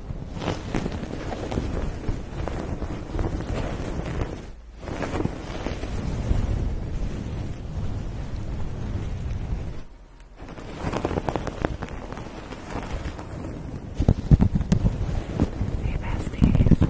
Hey, besties.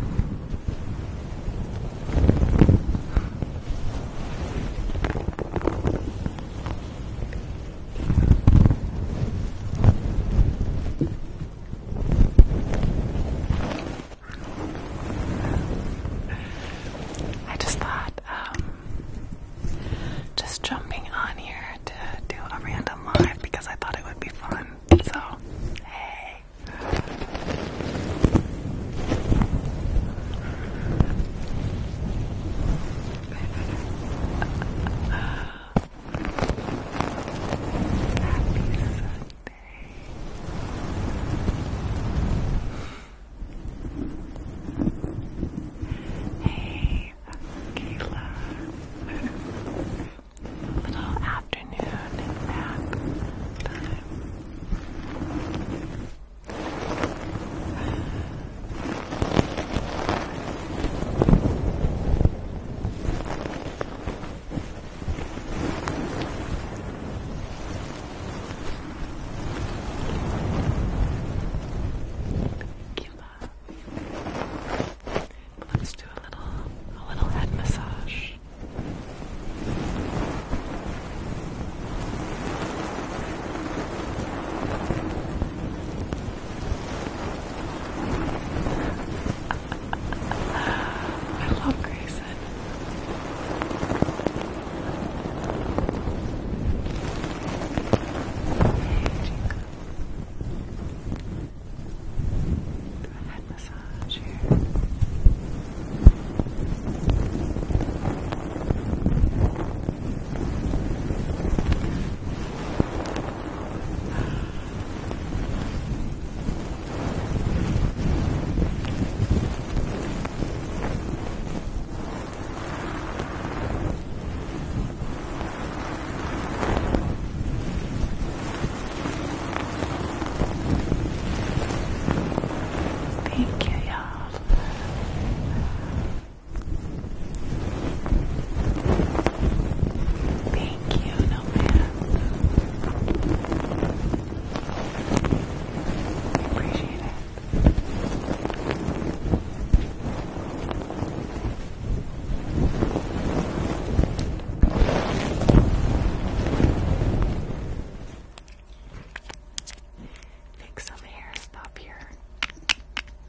I just thought, um, just jumping on here to do a random live because I thought it would be fun. So, hey. Hey, Kayla. Little afternoon nap time. Thank you, love. Let's do a little, a little head massage. Good. I love Grayson. head massage here. Thank you, y'all. Thank you, no I appreciate it. Fix some hair stuff here.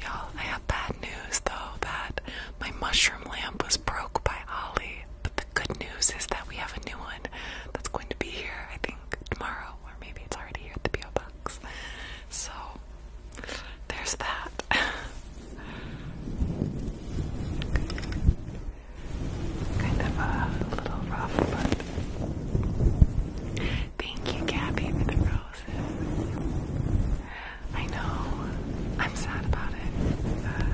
Y'all, I have bad news though Bad. My mushroom lamp was broke by Ollie, but the good news is that we have a new one that's going to be here, I think, tomorrow, or maybe it's already here at the P.O. Box. So, there's that. kind of a little rough, but. Thank you, Gabby, for the roses. I know. I'm sad about it. Uh,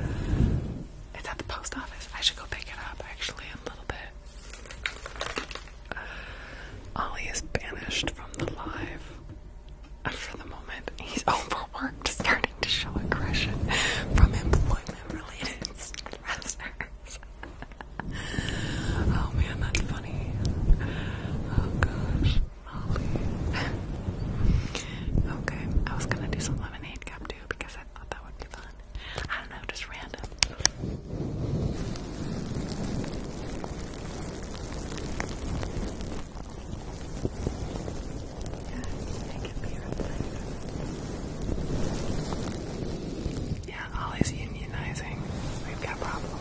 it's at the post office. I should go pick it up actually in a little bit. Uh, Ollie is banished from the live. for the moment, he's overworked, starting to show aggression from employment-related stressors. oh man, that's funny. Oh gosh. Oh, okay, I was gonna do some lemonade cup too because I thought that would be fun. I don't know, just random. Yeah, I Yeah, Ollie's unionizing. We've got problems.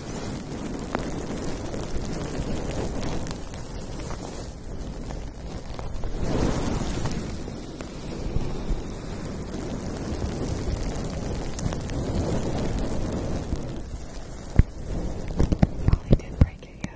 Probably did break it, yeah.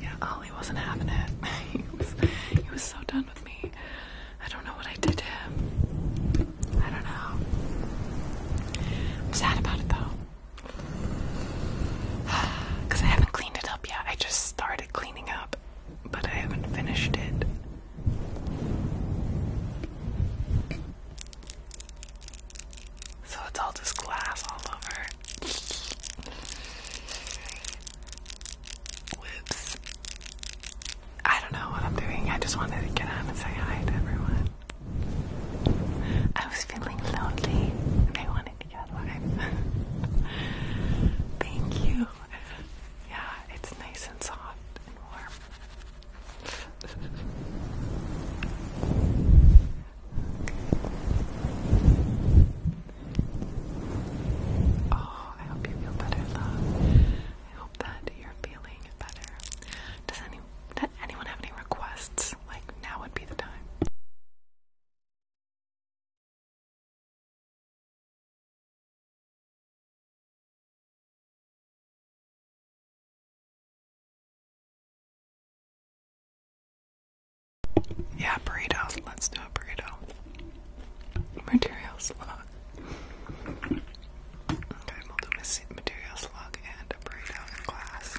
Yeah, Ollie oh, wasn't having it. he, was, he was so done with me. I don't know what I did to him. I don't know. I'm sad about it though. Because I haven't cleaned it up yet. I just started cleaning up, but I haven't finished it. So it's all just glass all over. Whoops. I don't know what I'm doing. I just wanted to get on and say hi to everyone. I was feeling lonely I wanted to get live. Thank you. Yeah, it's nice and soft and warm. Oh, I hope you feel better, love. I hope that you're feeling better. Does any does anyone have any requests? Like now would be the time. Yeah, burritos. Let's do a burrito. Material slug. Okay, we'll do and a burrito in glass.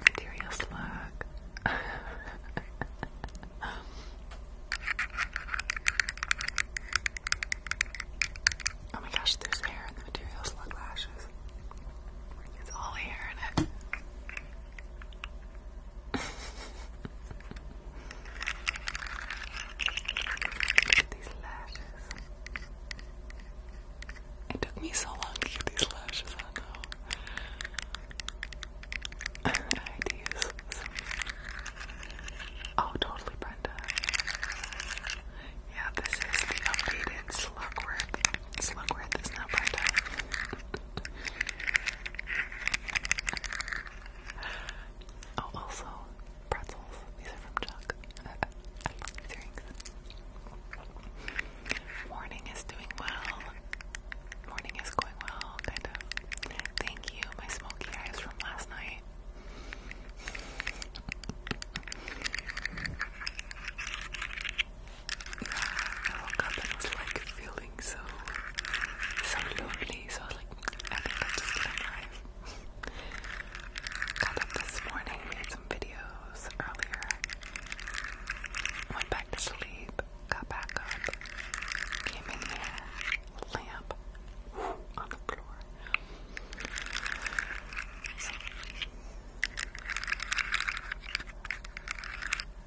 Materia slug. oh my gosh, there's hair in the material slug lashes. It's all hair in it. Look at these lashes. It took me so long to get these lashes on though. I Oh, totally, Brenda. Yeah, this is the updated Slugworth. Slugworth is not Brenda. oh, also, pretzels. These are from Chuck. I Morning is doing well. Morning is going well, kind of. Thank you, my smoky eyes from last night. Yeah, I woke up and was like feeling so, so lonely. So I was like, I think I'll just get alive. Got up this morning, made some videos videos earlier. Went back to sleep, got back up, came in here, lamp on the floor.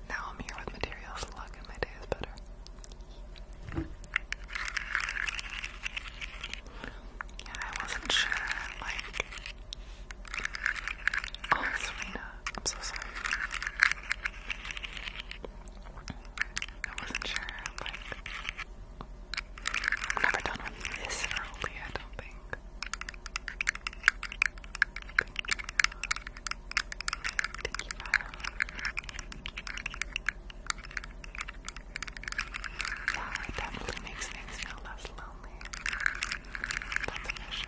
now I'm here with materials luck and my day is better. Yeah, I wasn't sure, like, Oh, Serena, I'm so sorry. I wasn't sure, like, I'm never done with this early, I don't think. Yeah, it definitely makes things feel less lonely. That's for sure.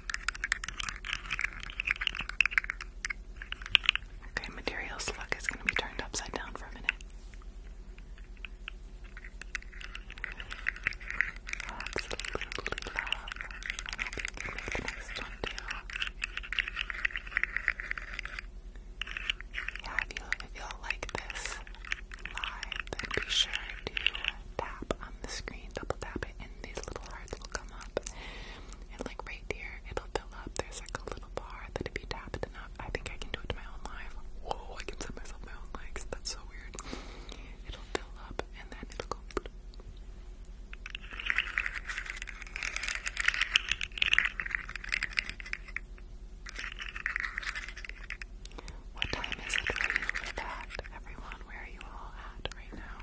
Okay, material slug is going to be turned upside down for a minute. Absolutely love. I hope you next one Yeah, if you, if you like this live, then be sure to tap on the screen, double tap it, and these little hearts will come up and like right here it'll fill up. There's like a little bar that if you tap it enough, I think I can do it to my own life. Whoa, I can set myself my own legs. That's so weird. It'll fill up and then it'll go. What time is it where you live at, everyone? down. Where are you all at right now?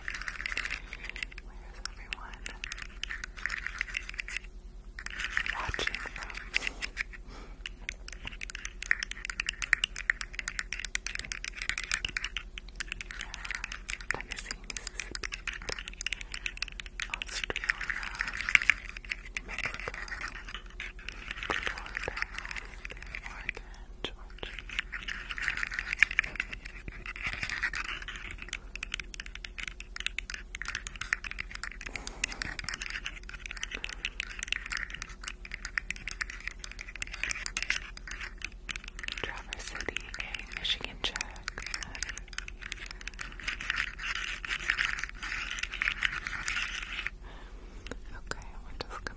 Where is everyone watching from? Yeah, Australia, Mexico, Florida, Oregon, George. Traverse City, a Michigan check. Okay, we're just gonna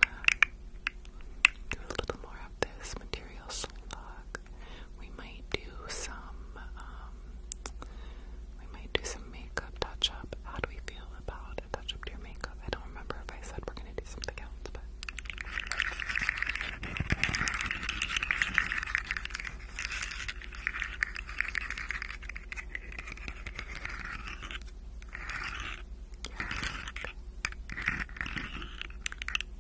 do a little more of this material slug. We might do some, um, we might do some makeup touch up. How do we feel about a touch up to your makeup? I don't remember if I said we're gonna do something else, but. Okay,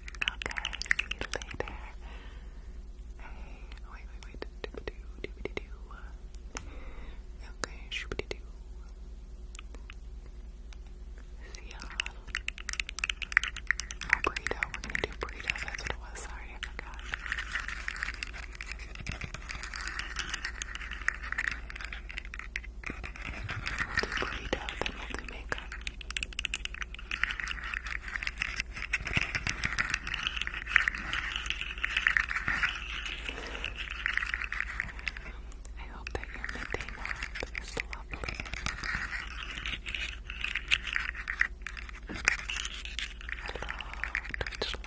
see you later. Hey, wait, wait, wait. Doop doo, doop -a doo. Okay, shoop doo. See y'all. Oh, burrito. We're gonna do burrito. That's what it was. Sorry, I forgot. We'll I hope that your midday nap is lovely. Hello, Twitch love.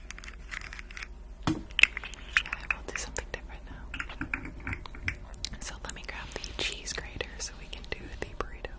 I will do something different now. So let me grab the cheese grater so we can do the burrito.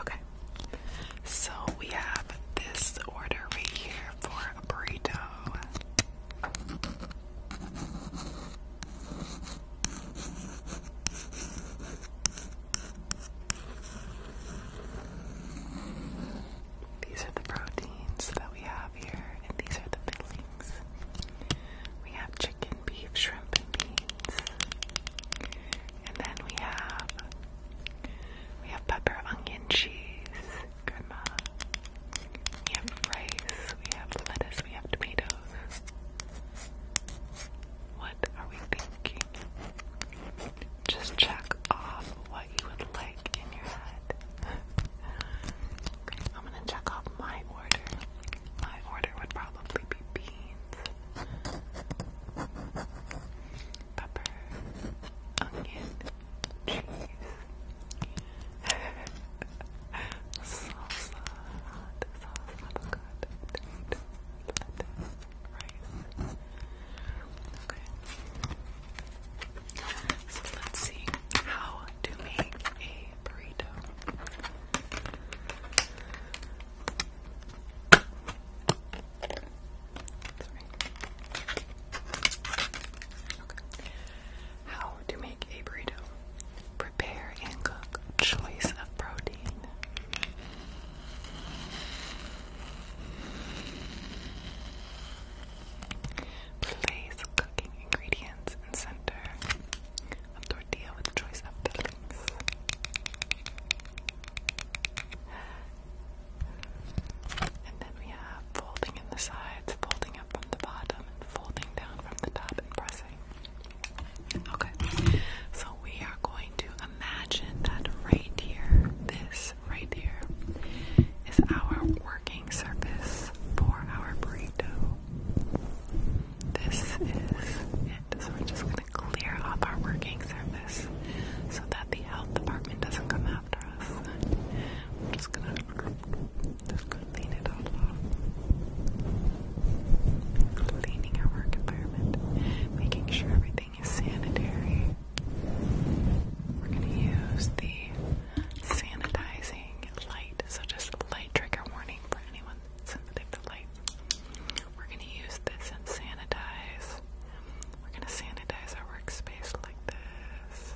Okay, so we have this order right here for a burrito. These are the proteins that we have here, and these are the fillings. We have chicken, beef, shrimp, and beans. And then we have we have pepper, onion, cheese, grandma. We have rice, we have lettuce, we have tomatoes. What are we thinking? Just check off what you would like in your head. I'm gonna check off my order. My order would probably be beans, pepper, onion, salsa, hot sauce, avocado, lettuce, Okay. So let's see how to make a burrito. How to make a burrito. Prepare and cook. Choice of protein. Place cooking ingredients in center of tortilla with choice of fillings. And then we have folding in the sides, folding Okay, so we are going to imagine that right here, this right here, is our working surface for our burrito. This is it. So we're just going to clear up our working surface so that the health department doesn't come after us. I'm just going to just clean it all off. Cleaning our work environment, making sure everything is sanitary. We're going to use the sanitizing light, so just a light trigger warning for anyone sensitive to light. We're going to use this and sanitize. We're going to sanitize our workspace like this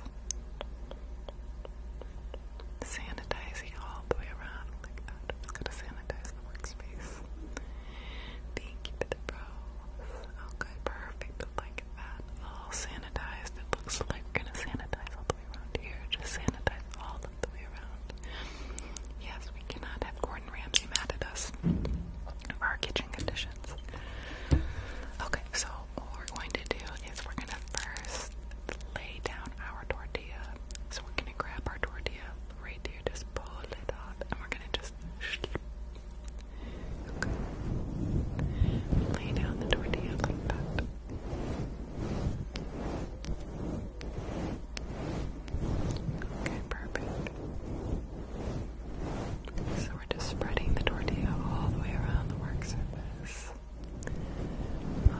sanitizing all the way around like that. It's gonna sanitize the workspace. Thank you the bros. Okay, perfect. Like that. All sanitized. It looks like we're gonna sanitize all the way around here. Just sanitize all the way around. Yes, we cannot have Gordon Ramsay mad at us our kitchen conditions. Okay, so what we're going to do is we're gonna first lay down our tortilla. So we're gonna grab our tortilla right here, just pull it off, and we're gonna just okay. lay down the tortilla like that. Okay, perfect. So we're just spreading the tortilla all the way around the work surface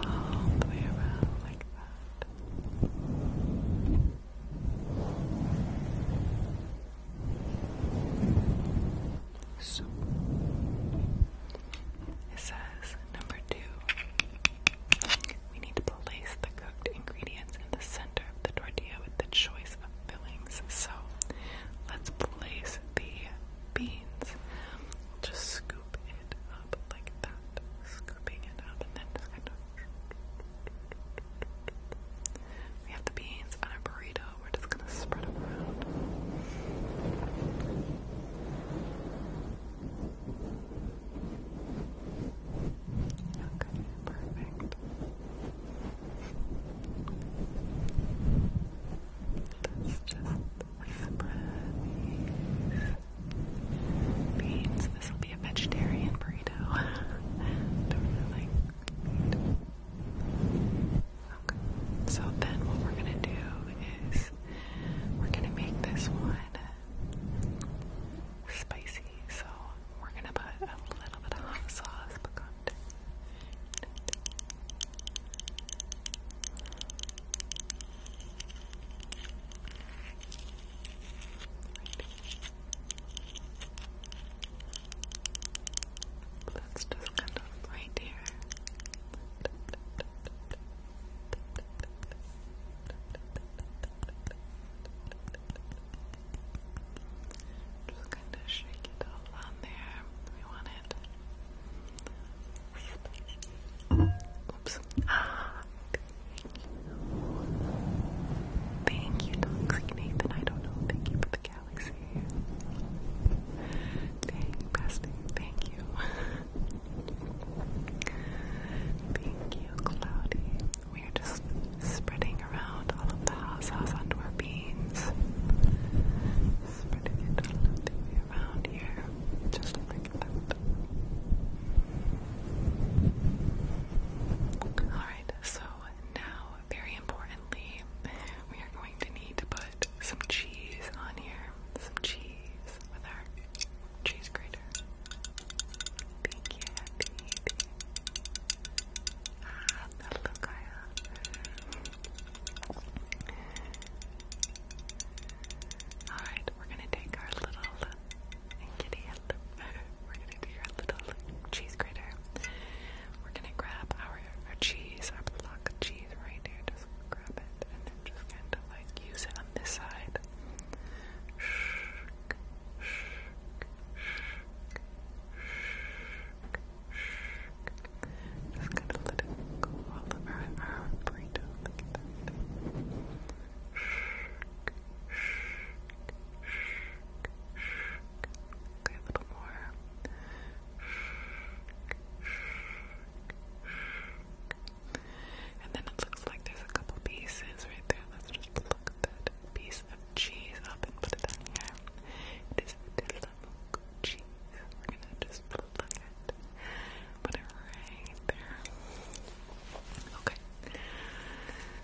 all the way around like that. So it says number two, we need to place the cooked ingredients in the center of the tortilla with the choice of fillings. So let's place the beans. We'll scoop it up like that. Scooping it up and then kind of. We have the beans on a burrito. We're just gonna spread them around. Okay, perfect beans. This will be a vegetarian burrito. Okay. So then what we're gonna do is we're gonna make this one spicy. So we're gonna put a little bit of hot sauce, but Let's just kind of right here. Just kind of shake it all on there. We want it Oops. Ah, thank you. Thank you, Nathan. I don't know. Thank you for the galaxy. Thank you, Pastor. Thank you. thank you, Cloudy. We are just spreading around all of the house house onto beans. Spreading it all over Alright, so now, very importantly, we are going to need to put some cheese on here. Some cheese with our cheese grater. Thank you, Happy. hello, ah, Kaya. Alright, we're gonna take our little kitty We're gonna do our little cheese grater. We're gonna grab our, our cheese, our block of cheese right here. Just grab it and then just kind of like use it on this side. Just gonna let it go all the way brain. Look at that. Okay, a little more. And then it looks like there's a couple pieces right there. Let's just look that piece of cheese up and put it on here. It is Tillamook cheese. We're gonna just plug it, put it right there. Okay.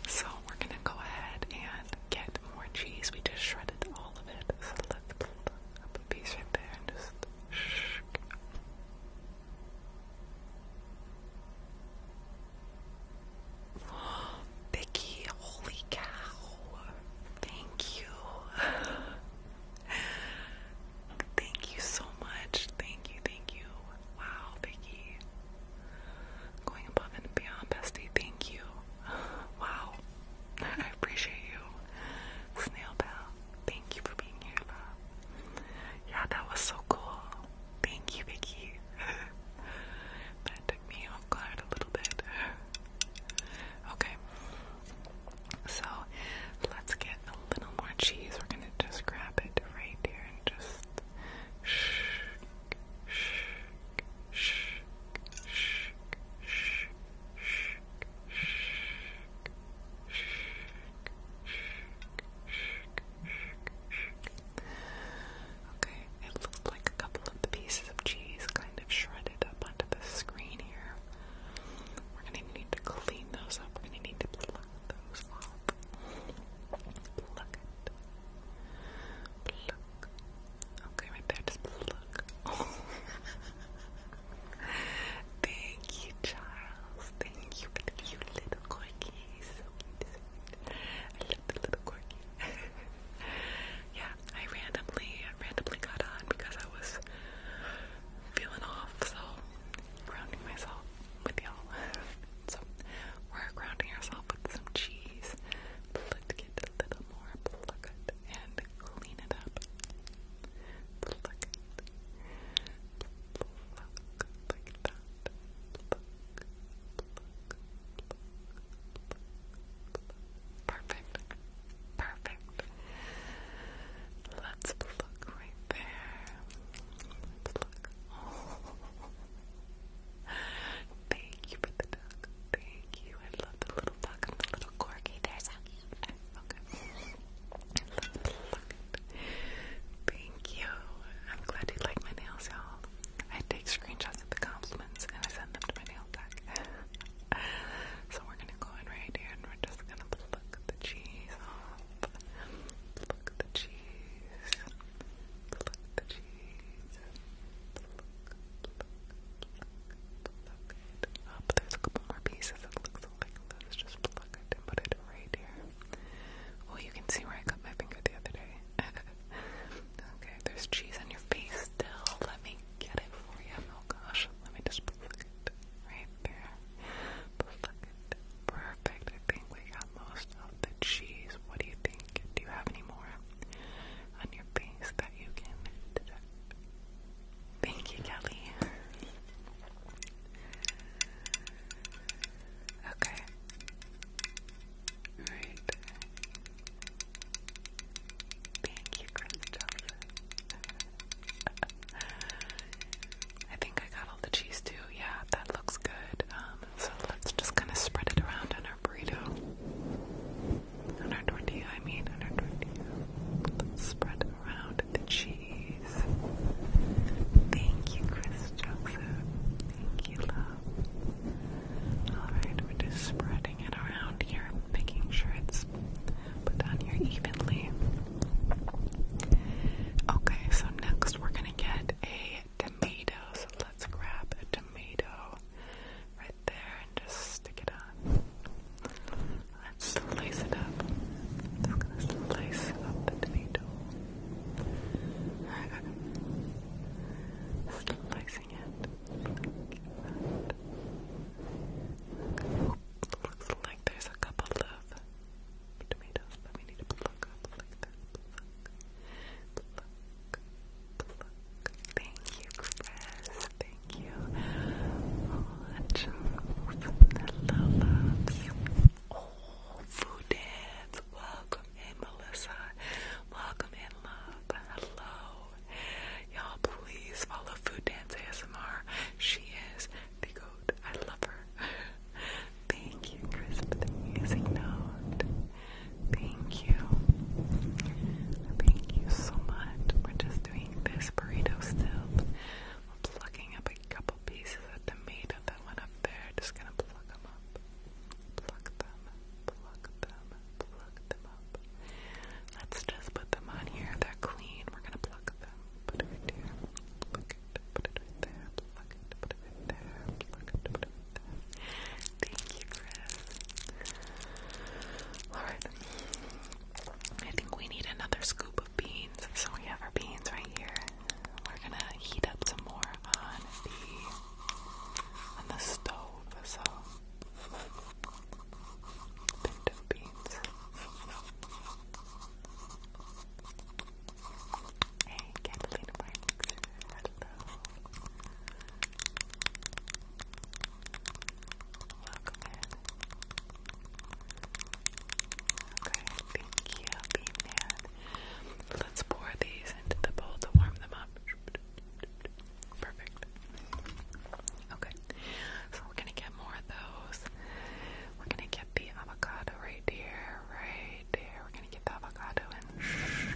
So we're gonna go ahead and get more cheese. We just shredded all of it. So let's put a piece right there and just shh. Vicky, holy cow. Thank you. Thank you so much. Thank you, thank you. Wow, Vicky. Going above and beyond, bestie. Thank you. Wow. I appreciate you. Snail Bell, thank you for being here, love. Yeah, that was so cool. Thank you, Vicky. that took me off guard a little bit. Okay. So let's get a little more cheese. We're gonna just grab it right here and just shake, shake, shake, shake, shake, shake, shake, shake. Okay, it looked like a couple of the pieces of cheese kind of shredded up onto the screen here. We're gonna need to clean those up. We're gonna need to pluck those off. Pluck it. Pluck. Okay, right there, just pluck. Thank you, Charles. Thank you little corgis. I love the little corgi. yeah, I randomly, randomly got on because I was feeling off, so grounding myself with y'all. so we're grounding ourselves with some cheese. Let's get a little more pluck and clean it up. Pluck it. like that. Perfect. Perfect. Let's pluck right there. Pluck. Oh. Thank you for the duck. Thank you. I love the little duck and the little corgi. There's how Okay. Let's pluck Thank you. I'm glad you like my nails, y'all. I take screenshots of the compliments and I send them to my nail tech. so we're gonna go in right here and we're just gonna pluck the cheese off. Look the cheese. Look the cheese. up. There's a couple more pieces. just pluck it and put it right here. Well, you can see where I cut my finger the other day. okay, there's cheese on your face still. Let me get it for you. Oh gosh, let me just pluck it right there. Perfect. I think we got most of the cheese. What do you think? Do you have any more on your that you can Thank you, Kelly. Okay. Alright. Thank you, Crystal. I think I got all the cheese too. Yeah, that looks good. Um, so let's just kind of spread it around on our burrito. On our tortilla, I mean, Let's spread around the cheese. Thank you, Chris Jackson. Thank you, love. Alright, we're just spreading it around here, making sure it's put down here evenly. Okay, so next we're gonna get a tomato. So let's grab a tomato right there and just stick it on. Let's slice it up. I'm gonna slice up the tomato. Slicing it. Looks like there's a couple of Thank you, Chris. Thank you. Oh, that's vanilla loves. food dance. Welcome in, Melissa. Welcome in, love. Hello. Y'all, please follow Food Dance ASMR. She is the goat. I love her. Thank you, Chris, music note. Thank you. Thank you so much. We're just doing this burrito still. We're plucking up a couple pieces of tomato that went up there. Just gonna pluck them up. Pluck them, pluck them, pluck them up. Let's just put them on here. They're clean. We're gonna pluck them. Put it here. Pluck Thank you, Chris. Alright. I think we need another scoop of beans. So we have our beans right here. We're gonna heat up some more on the on the stove, so pinto beans. Hey, Catalina Welcome Okay, thank you, Bean Let's pour these into the bowl to warm them up. Perfect. Okay, so we're gonna get more of those. We're gonna get the avocado right there, right there. We're gonna get the avocado and shh,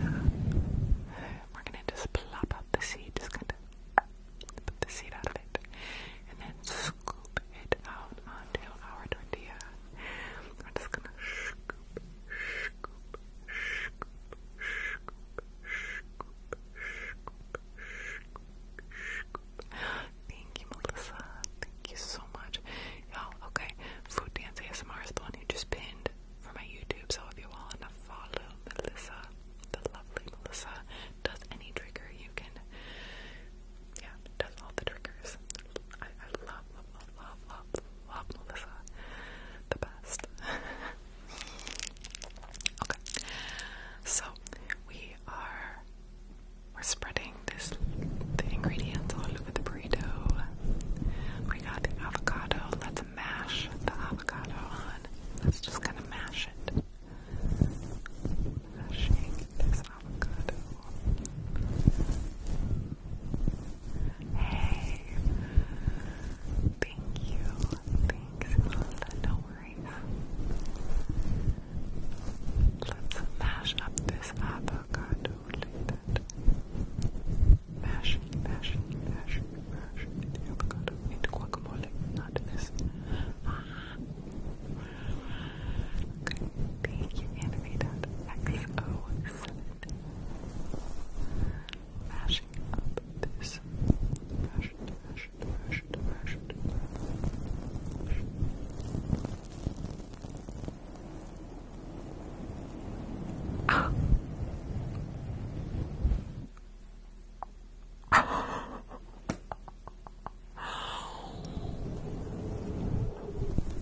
We're gonna just plop out the seed, just kind of put the seed out of it, and then scoop it out onto our tortilla. We're just gonna scoop, scoop, scoop, scoop, scoop, scoop, scoop, Thank you, Melissa. Thank you so much. Y'all, okay. Food Dance ASMR is the one who just pinned for my YouTube. So if you want to follow Melissa, the lovely Melissa, does any trigger you can. Yeah, does all the triggers. I, love, love, love, love, love Melissa. The best. okay. So we are we're spreading this the ingredients all over the burrito. We got avocado. Let's mash the avocado on. Let's just kind of mash it. Mashing this avocado. Hey, thank you. Thanks, No worries. Let's mash up this avocado like that. Mash, mash, mash, mash the avocado into guacamole, not this. Okay, thank you, Anthony. XO7. Mashing up this. Mash, mash, mash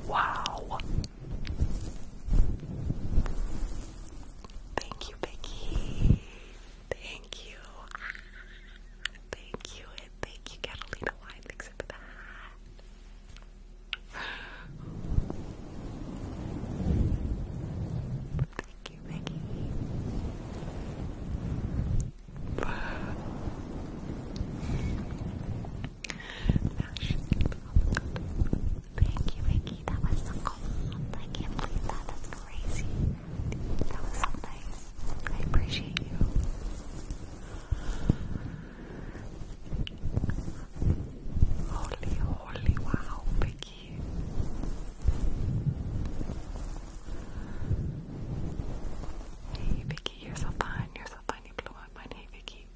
wow. Thank you, Becky. Thank you. Thank you, and thank you, Catalina Thank you, Maggie. Thank you, Mickey. That was so cool. I can that. That's crazy. That was so nice. you. Holy, holy, wow, Becky. Hey, Vicky, you're so fun. You're so fun. You blew up mine. Vicky.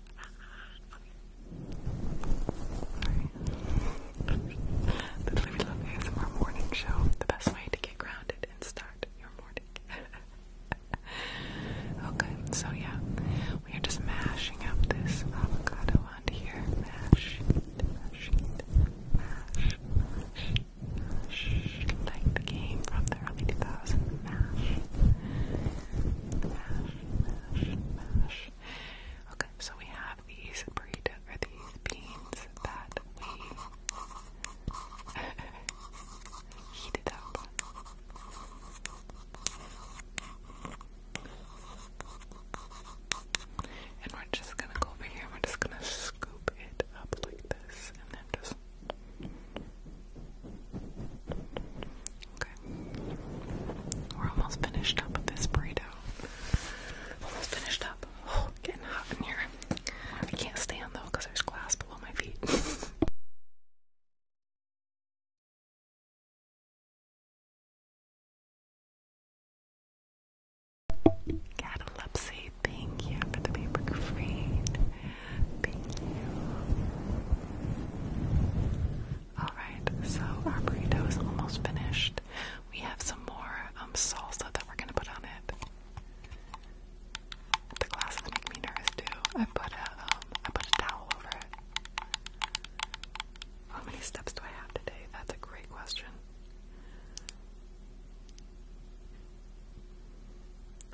the Living Love ASMR morning show. The best way to get grounded and start your morning. okay, so yeah, we are just mashing up this avocado onto here. Mash, mash, mash, mash, mash. Like the game from the early 2000s. Mash, mash, mash, Okay, so we have these burrito or these beans that we Heat it up. And we're just gonna go over here we're just gonna scoop it up like this and then just. Okay. We're almost finished up with this burrito. Almost finished up. Oh, getting hot in here. I can't stand though because there's glass below my feet. Catalepsy, thank you for the paper crane. Alright, so our burrito is almost finished. We have some more um, salsa that we're gonna put on it. The glasses make me nervous too. I put a um, put a towel over it. How many steps do I have today? That's a great question.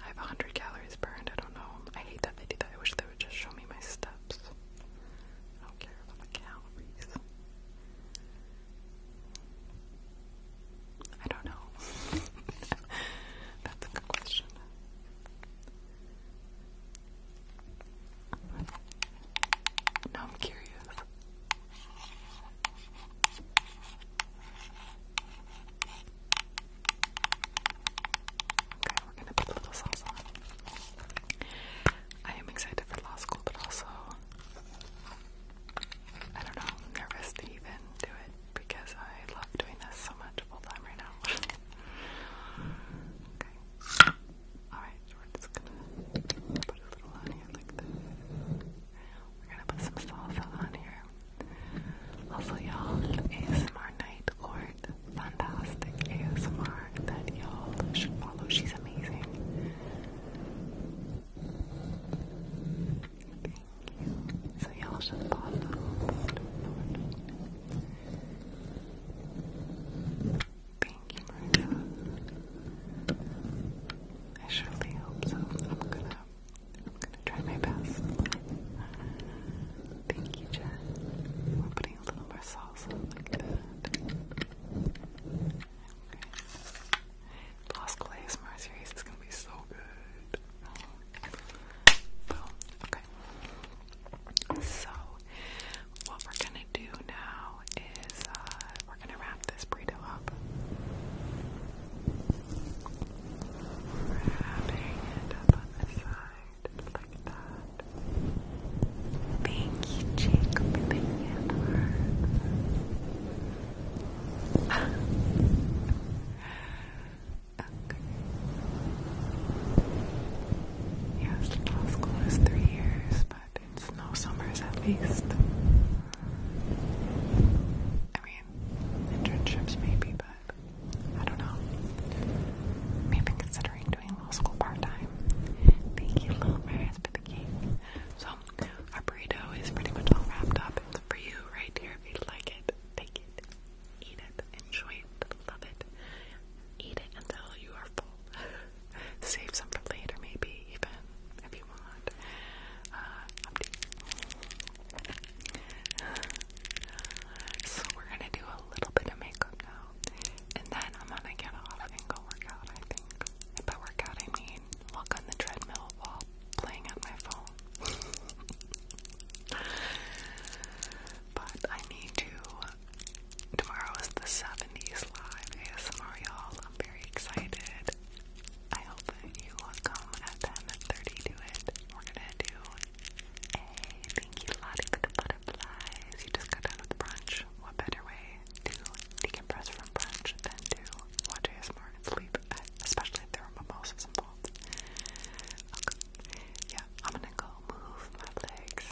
I have 100 calories burned. I don't know. I hate that they do that. I wish they would just show me my steps. I don't care about the calories. I don't know. That's a good question. Now I'm curious. Okay, we're gonna put a little sauce on. I am excited for law school, but also I don't know, nervous to even do it because I love doing this so much full time right now. okay. Alright, we're gonna put a little on here like this. We're gonna put some salsa on here. Also, y'all, ASMR Night Lord, fantastic ASMR that y'all should follow. She's amazing you. So y'all should follow. Thank you, Maria. I surely hope so. I'm gonna, I'm gonna try my best. Thank you, Jen. We're putting a little more salsa Okay. Lost Glaze Merceries is gonna be so good. Okay. So, what we're gonna do now is uh, we're gonna wrap this burrito up. Wrapping it up on the side, like that. Thank you, Jacob, Okay. Yes, law school is three years, but it's no summers at least. I mean, internships maybe, but I don't know. Maybe considering doing law school part time. Thank you, little Maris, So, our burrito is pretty much all wrapped up. It's for you right here if you like it. Take it eat it, enjoy it, love it. Eat it until you are full. Save some for later, maybe even if you want. Uh, so we're gonna do a little bit of makeup now, and then I'm gonna get off and go work I think. And by workout, I mean walk on the treadmill, walk, playing on my phone. but I need to. Tomorrow is the 70s live ASMR, y'all. I'm very excited. I hope you will come at 10.30 to it. We're gonna do a thank you Lottie for butterflies. You just got done with brunch. What better way to decompress from brunch than to watch ASMR and sleep, especially if there are mimosas involved. Okay. Yeah, I'm gonna go move my legs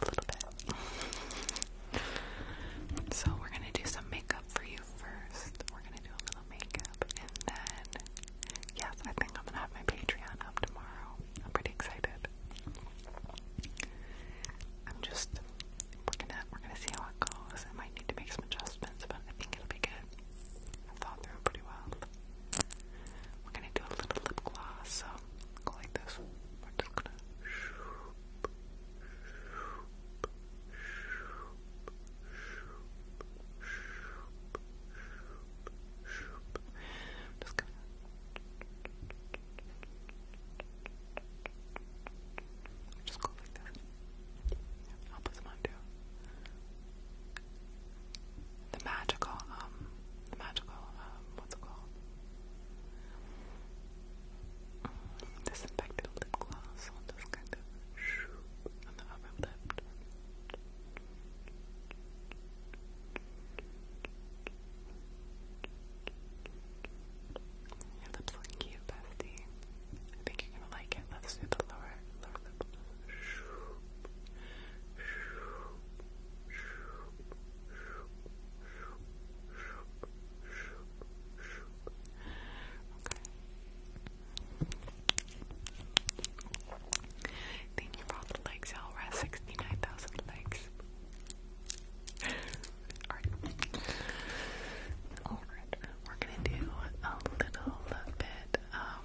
a little bit. so we're gonna do some makeup for you first. We're gonna do a little makeup and then yes, I think I'm gonna have my Patreon up tomorrow. I'm pretty excited. I'm just we're gonna we're gonna see how it goes. I might need to make some adjustments, but I think it'll be good. I thought through pretty well. We're gonna do a little lip gloss, so go like this. We're just gonna just go like this. I'll put them on too. The magical, um, the magical, um, what's it called? Disinfected lip gloss. I'll just kind of shoop on the upper lip. Your lips cute, bestie. I think you're gonna like it. Let's do the lower, lower lip. Thank you for the legs, you We're at 69,000 legs. Alright, we're gonna do a little bit, um,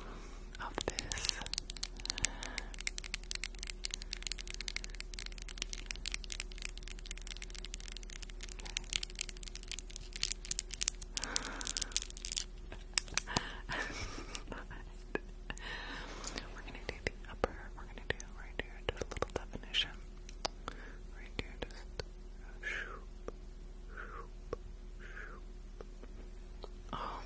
of this. we're gonna do the upper, we're gonna do right here, just a little definition. Right here, just Oh.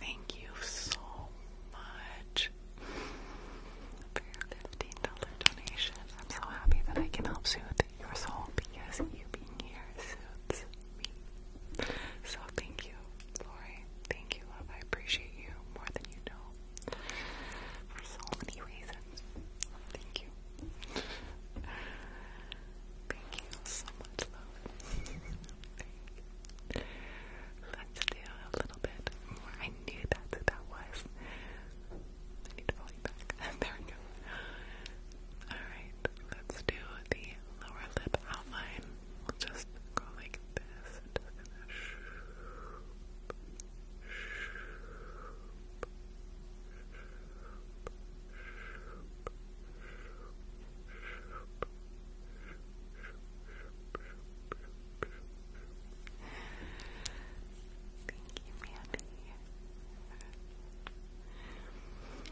thank you so much for your $15 donation. I'm so happy that I can help soothe your soul because you being here suits me. So thank you, Lori. Thank you, love. I appreciate you more than you know. For so many reasons. Thank you. Thank you so much, love. Let's do a little bit more. I knew that's that was. I need to follow back. there we go. Alright let's do the lower lip outline. We'll just go like this.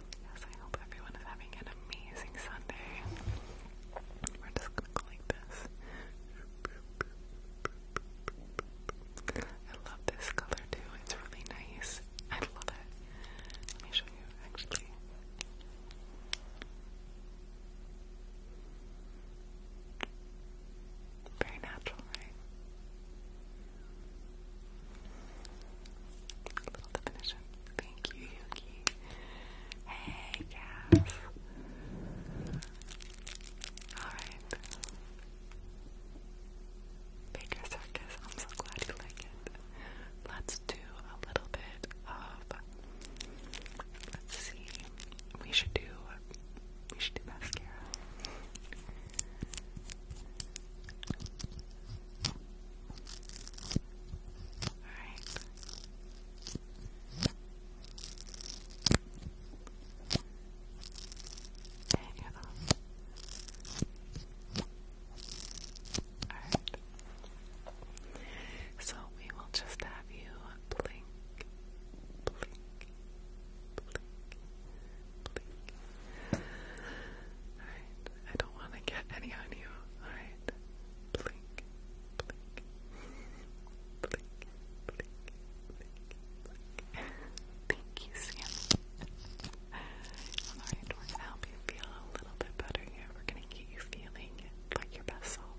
Yes, I hope everyone is having an amazing Sunday. We're just going like this. I love this color too, it's really nice. I love it. Let me show you actually. Very natural, right? A little definition. Thank you, Yuki. Hey, Cass. Alright. Baker Circus, I'm so glad you like it. Let's do a little bit of. Let's see. We should do. We should do mascara. Alright. And you Alright. So we will just have you blink, blink, blink, blink, I don't want to get any on you. Alright, blink, blink, blink, blink, blink, Thank you, Sam. Alright, we're going to help you feel a little bit better here. We're going to get you feeling like your best self.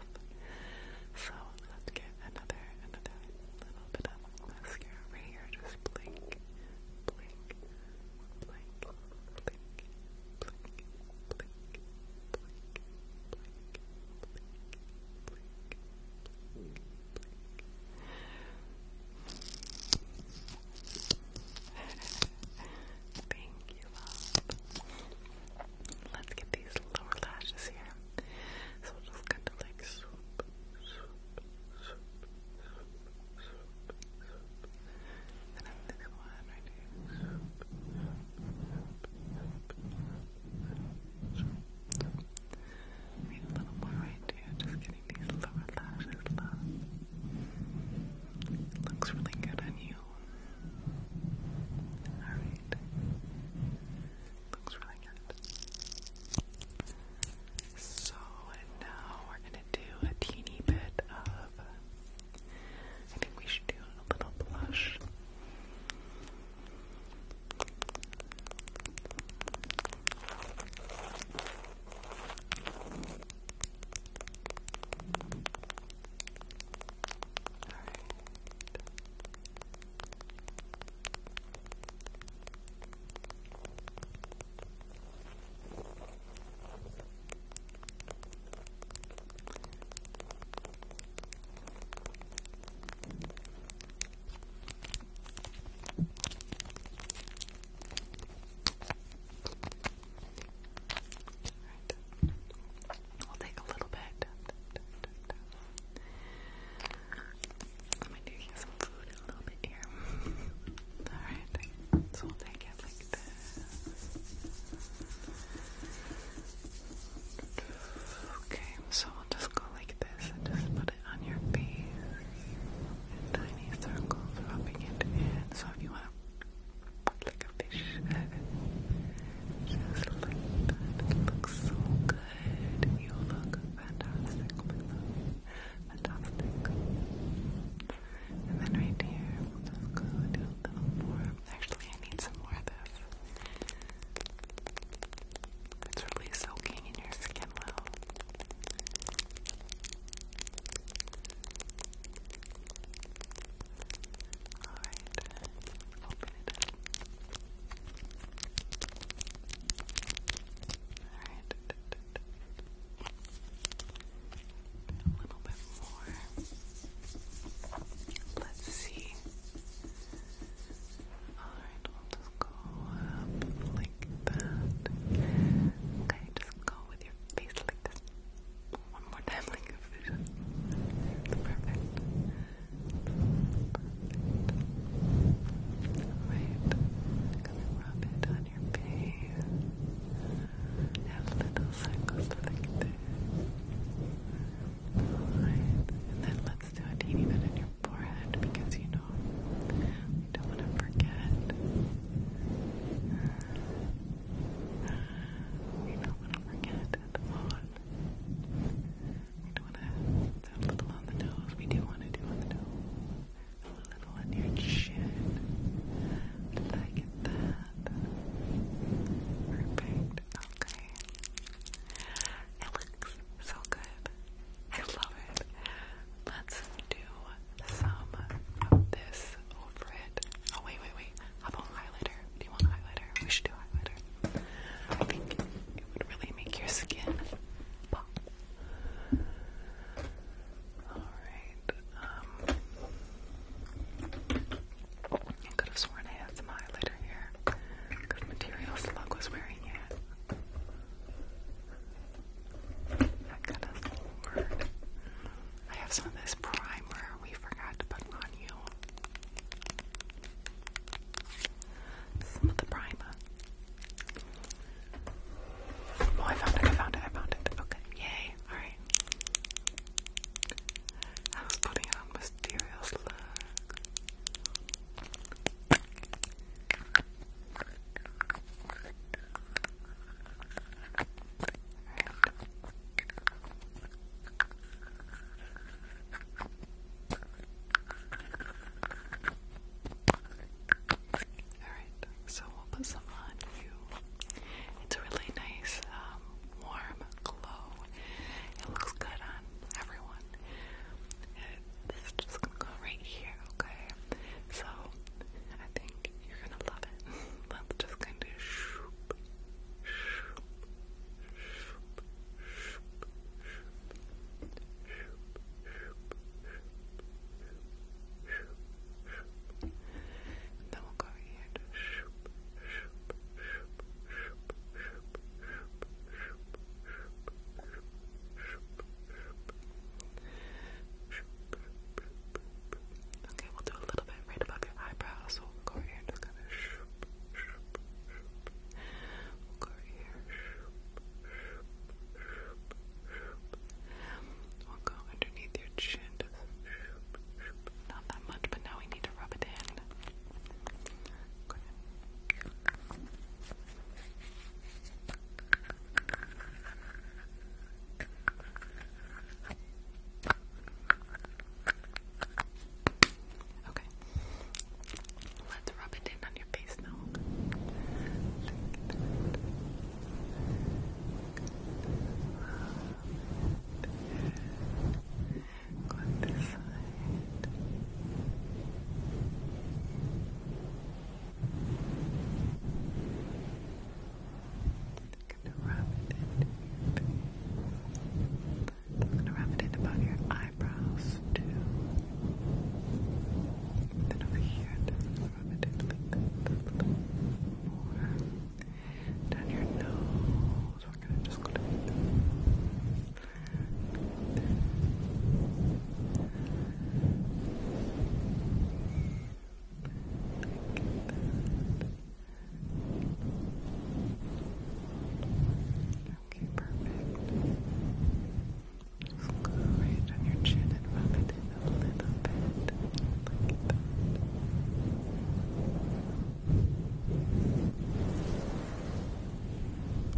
So let's get another, another little bit of mascara right here. Just blink, blink, blink, blink, blink, blink, blink, blink, blink, blink, blink. Thank you, love. Let's get these lower lashes here. So we'll just kind of like then I'm right here. a little more right here, just getting these lower lashes looks really good on you. Alright. Looks really good. So now we're gonna do a teeny bit of I think we should do a little blush. Right. We'll take a little bit. Let me do some food a little bit here. Alright, so we'll take it. Okay, so we'll just go like this and just put it on your face in tiny circles, rubbing it in. So if you want to like a fish just like looks so good. You look fantastic, Fantastic. And then right here, go a little more. Actually, I need some more of It's really soaking in your skin well. Alright, Alright a little bit more. Let's see. Alright, we'll just go like that. Okay, just go with your face like this. One more time, like a perfect. Perfect. Alright, going rub it on your face have little circles like this. Alright, and then let's do it even in your forehead because you know we don't want to forget. We don't want to forget at all. We don't want to have a little on the nose. We do want to do on the nose. A little on your chin. Like that. Perfect. Okay. It looks so good. I love it. Let's do some this over it. Oh wait, wait, wait. How about highlighter? Do you want highlighter? We should do highlighter. I think it would really make your skin pop. Alright, I um, could have sworn I had some highlighter here. Good material slug was wearing it. I could have sworn. I have some of this primer we forgot to put on you. Some of the primer. Oh, I found it, I found it, I found it. Okay, yay, alright. I was putting on mysterious look. Alright, so we'll put some on you. It's a really nice, um, warm glow. It looks good on everyone. this is just gonna go right here, okay? So, I think you're gonna love it. Let's just kind of shoop, shoop, shoop, shoop, shoop, shoop, shoop, shoop, shoop, shoop. And then we'll go here to shoop. Okay, we'll do a little bit right above your eyebrows. we'll go here and just kind of we'll go here. We'll go underneath your chin. Not that much, but now we need to rub it in. Okay. Let's rub it in on your face now. Go this side. I'm gonna rub it I'm gonna rub it above your eyebrows too. Then over here, I'm gonna rub it a little more down your nose. We're gonna just go down Okay, perfect. Just go right on your chin and rub it in a little bit that.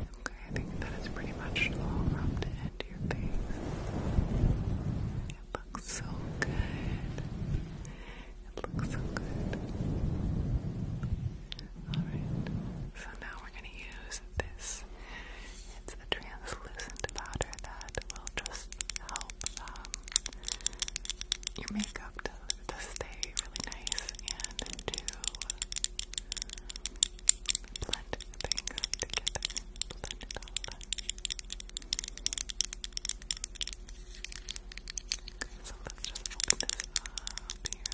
Okay, I think that is pretty much all rubbed into your face. It looks so good. It looks so good. Alright, so now we're going to use this. It's a translucent powder that will just help um, your makeup to, stay really nice and to blend things together. so let's just open this up here. Uh,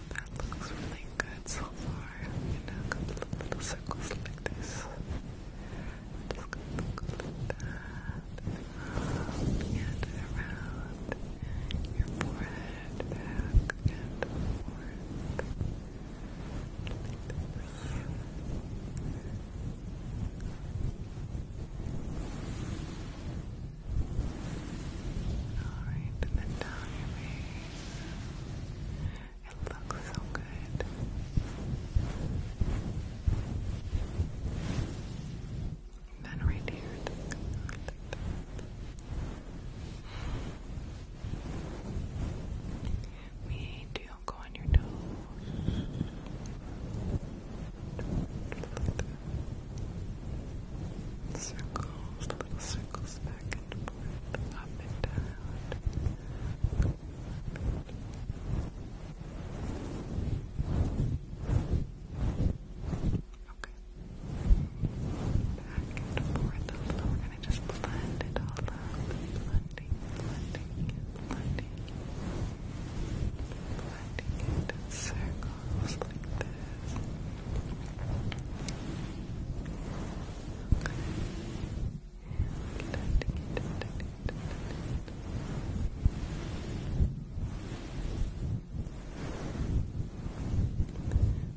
that looks really good so far. You know, little circles like this. Just going that. Around and around your forehead, back and forth. Alright, and then down your face. It looks so good. then right here. Me too. Go on your toes. Circles, little circles back and forth, Okay. Back and forth a We're gonna just blend it all up. Blending, blending, blending. Blending in circles like this.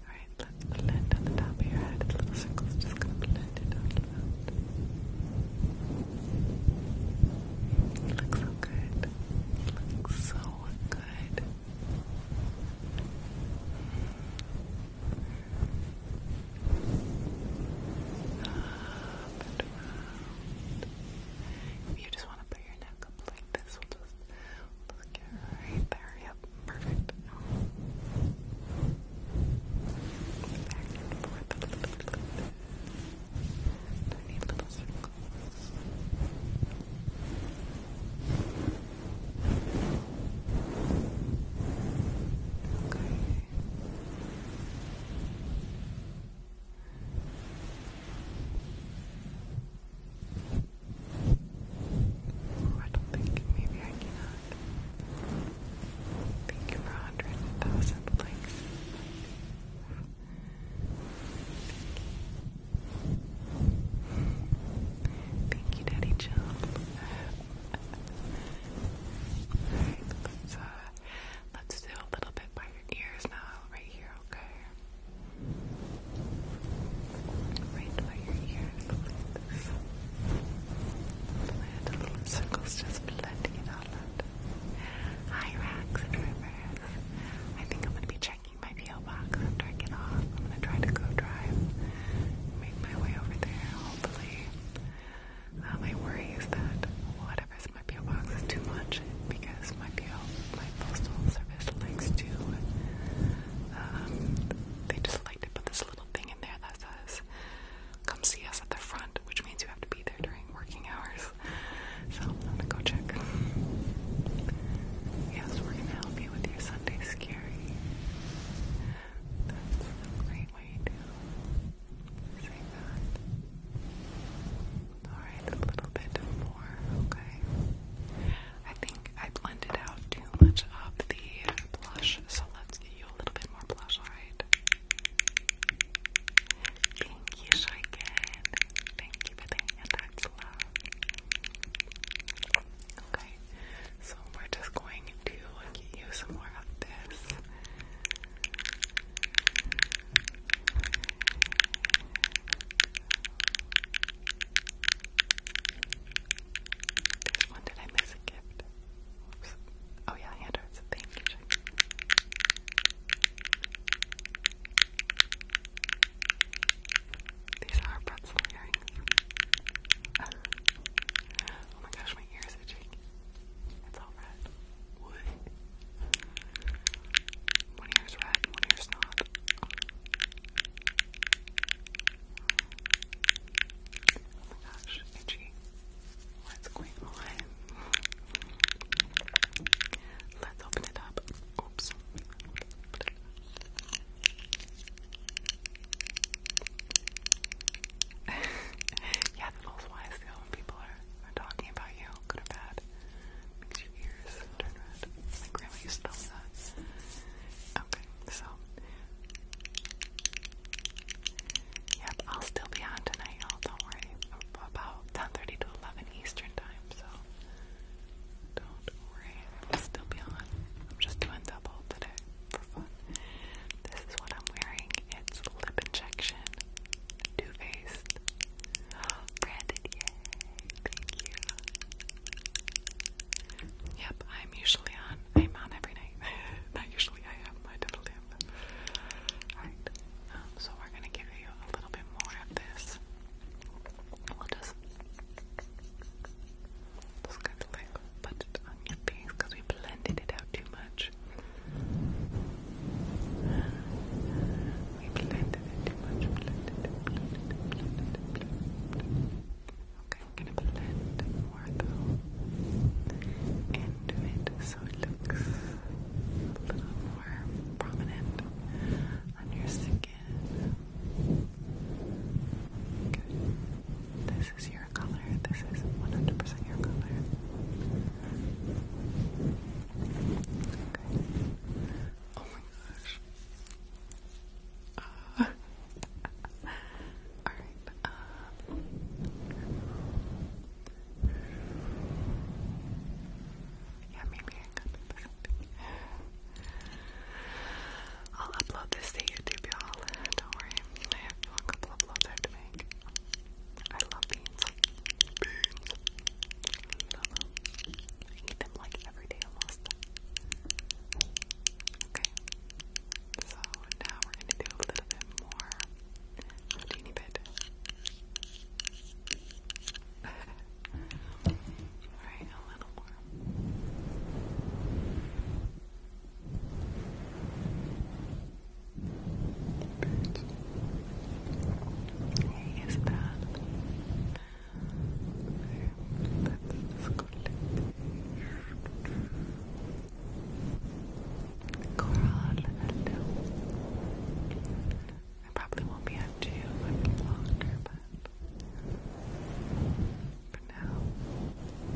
Alright, let's blend on the top of your head. little circles, just gonna blend it all out. You look so good. You look so good and you just want to put your neck up like this, we'll just look right there. Yep, perfect. Back and forth a little bit. Tiny little circles. I don't think maybe I cannot. Thank you for a hundred thousand likes. Thank you, Daddy Jill. Uh, let's, do a little bit by your ears now, right here, okay? Right by your ears, little circles, just blending it all out. Hi, Rax and I think I'm gonna be checking my P.O. box after I get off. I'm gonna try to go drive, make my way over there, hopefully. Uh, um, my worry is that whatever's in my P.O. box is too much because my P.O. my postal service likes to um, they just like to put this little thing in there that says come see us at the front, which means you have to be there during working hours. So I'm gonna go check. Yes, we're gonna help you with your Sunday ski. That's a great way to say that. Alright, a little bit more, okay? I think I blended out too much of the blush, so let's get you a little bit more blush, alright? Thank you, Shrike. Thank you for the that's love. Okay, so we're just going to get you some more of this. This one, did I miss a gift? Oops. Oh yeah, hand arts. Thank you, Jackie. These are pretzel earrings. oh my gosh, my ears are itching. It's all red. One ear's red, one ear's not. Oh. my gosh, itchy. What's going on? Let's open it up. Oops. yeah, the bull's wise though when people are, are talking about you, good or bad. Makes your ears turn red. My grandma used to that. Okay, so Yep, I'll still be on tonight, y'all, don't worry. About 10.30 to 11 Eastern time, so don't worry, I'll still be on. I'm just doing double today. This is what I'm wearing. It's lip injection, Too Faced, branded. Yay! Thank you. Yep, I'm usually on. I'm on every night. Not usually. I have my double dip. All right. Um, so we're gonna give you a little bit more of this. We'll just. Just kind of like put on your face because we blended it out too much. We blended it too much. Okay, gonna blend more though into it so it looks a little more prominent on your skin. Good. This is your color. This is 100% your color. Oh my gosh. Alright. Um, yeah, maybe I got something. I'll upload this to YouTube, y'all. Don't worry, I have a couple uploads I have to make. I love beans. Beans. I eat them like every day almost. Okay. So now we're gonna do a little bit more. A teeny bit. Alright, a little more. Ahí está. Let's Coral, hello. I probably won't be up to you longer, but for now.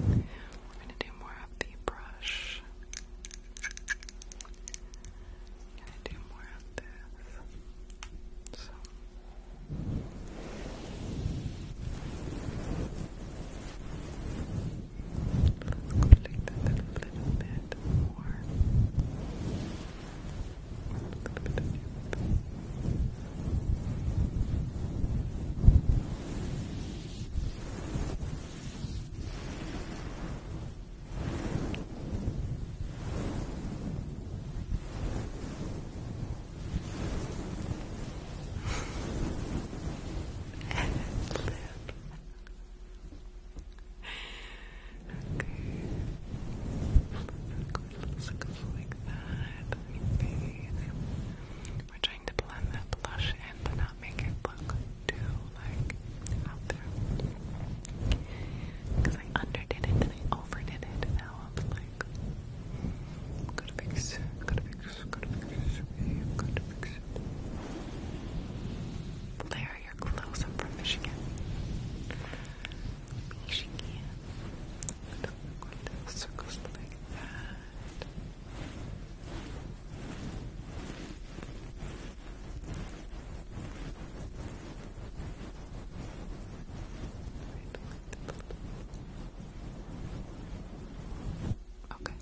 We're going to do more of the brush. going to do more of this. So. Let's complete a little bit more. A little bit of Okay. Let's go like that. Let me see. We're trying to blend that blush in, but not make it look too, like, out there. Because I underdid it and overdid it, now I'm like, gotta fix it, gotta fix it, gotta fix it, gotta fix Blair, you're close. I'm from Michigan. Michigan. Circles like that. Okay.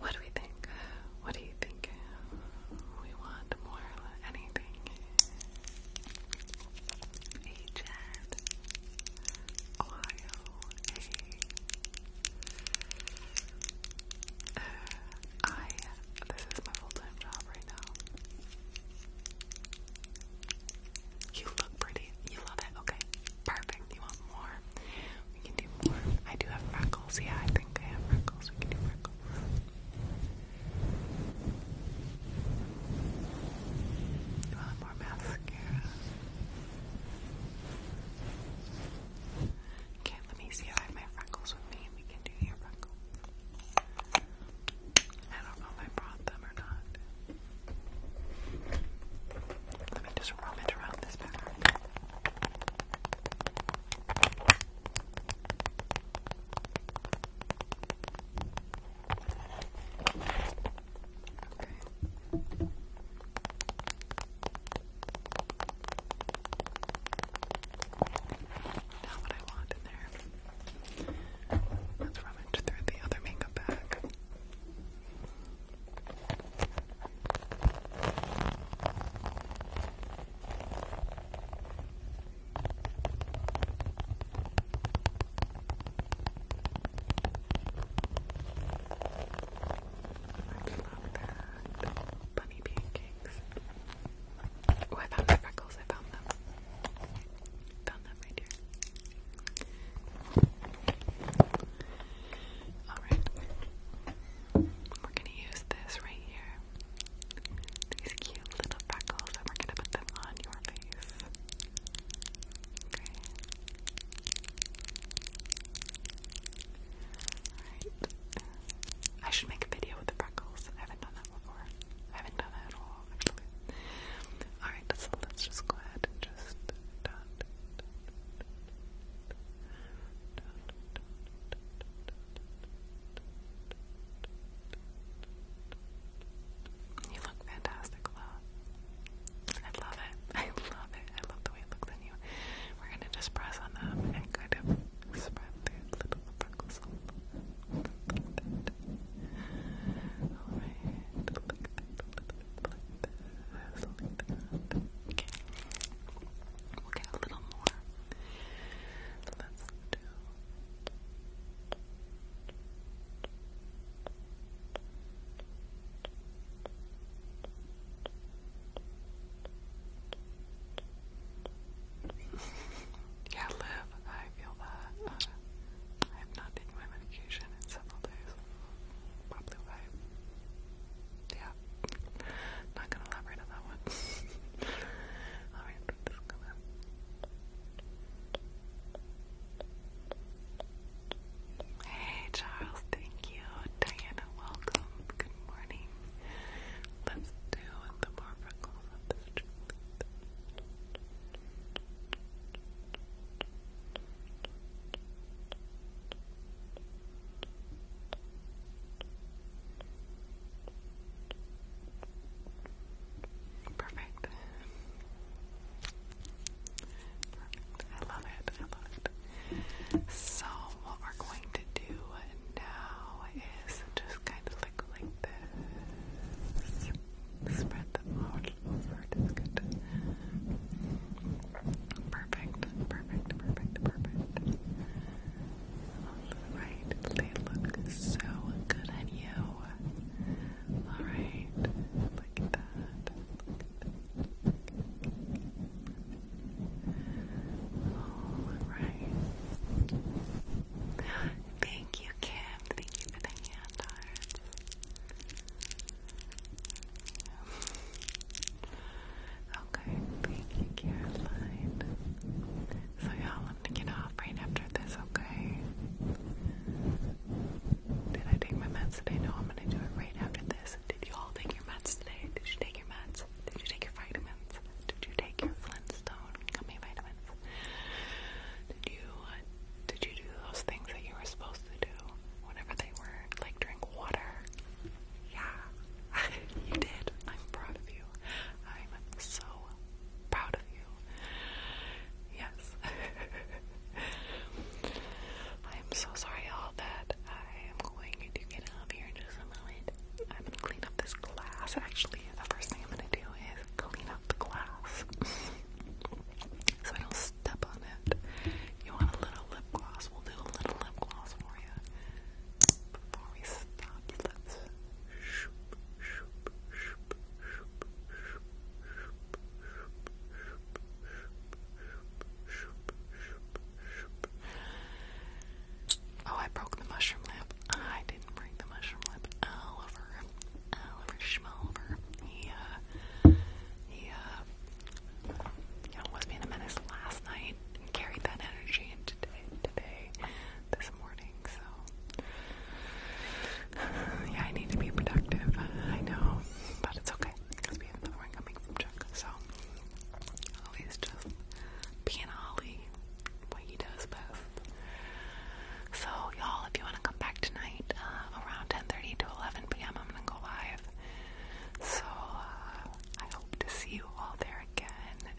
What do we think? What do you think? We want more anything. Hey uh, I, this is my full-time job right now. You look pretty. You love it. Okay, perfect. You want more? We can do more. I do have freckles. Yeah, I think I have freckles. We can do freckles. You want more mascara? Okay, let me see if I have my freckles with me and we can do your freckles. I don't know if I brought them or not. Let me just rub it around this back. Okay. Now what I want in there. Let's rummage through the other makeup bag. I love that. Bunny pancakes. Oh, I found my freckles. I found them. Found them right here. Alright. We're gonna use this right here. These cute little freckles, and we're gonna put them on your face. Okay. Alright. I should make a video with the freckles. I haven't done that before. I haven't done that at all, actually. Alright, so let's just go ahead and just You look fantastic, love. I love it. I love it. I love the way it looks on you. We're gonna just press on them and kind of spread the little freckles Okay. We'll get a little more. Let's yeah, live. I feel that. Uh, I have not taken my medication in several days. Probably why. Yeah. Not gonna elaborate on that one. Alright, this is gonna. Hey Charles, thank you. Diana, welcome. Good morning. Let's do the more freckles of Perfect. I love it. I love it. So what we're going to do now is just kind of like this. Spread them out over. Perfect. Perfect. Perfect. Perfect. All right. They look so good on you. All right. Look at that. Alright. Thank you, Kim. Thank you for the hand hearts. Okay, thank you, Caroline. So y'all, I'm get off right after this, okay? Did I take my meds today? No, I'm gonna do it right after this. Did you all take your meds today? Did you take your meds? Did you take your vitamins? Did you take your Flintstone gummy vitamins? Did you uh, did you do those things that you were supposed to do whenever they were like drink water? Yeah, you did. I'm proud of you. I'm so proud of you. Yeah, I am so sorry, all that. I am going to get out here in just a moment. I'm gonna clean up this glass. Actually, the first thing I'm gonna do is clean up the glass so I don't step on it. You want a little lip gloss? We'll do a little lip gloss for you. Before we stop, Oh, I broke the mushroom lamp. I didn't break the mushroom lamp. Oliver, Oliver Schmolver. He, uh, he, uh, you know, was being a menace last night and carried that energy into today, today, this morning. So, yeah, I need to be productive. I know, but it's okay. It's that weren't coming from Chuck. So always oh, just being Ollie, what he does best. So y'all, if you want to come back tonight uh, around 10:30 to 11 p.m., I'm gonna go live. So uh, I hope to see you all there again.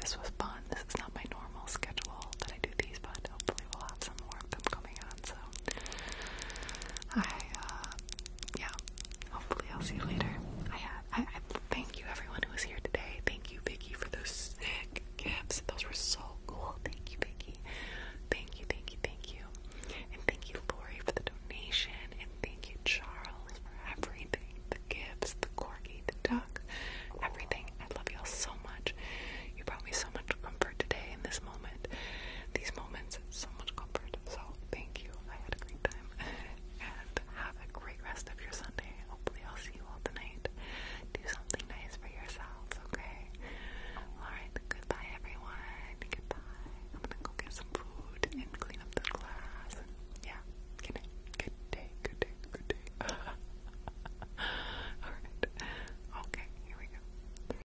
This was fun. This is not my normal schedule that I do these, but hopefully we'll have some more of them coming on. So I, uh, yeah, hopefully I'll see you later. Uh, I, I, thank you everyone who was here today. Thank you, Vicky, for those sick gifts. Those were so cool. Thank you, Vicky. Thank you, thank you, thank you. And thank you, Lori, for the donation. And thank you, Charles, for everything the gifts, the corgi, the duck, everything. I love y'all so much. You brought me so much comfort today in this moment. These moments so much comfort. So thank you. I had a great time. and have a great rest of your Sunday. Hopefully I'll see you all tonight. Do something nice for yourselves, okay? Alright, goodbye everyone. Goodbye. I'm gonna go get some food and clean up the glass. yeah. Good day. Good day. Good day. Okay, here we go.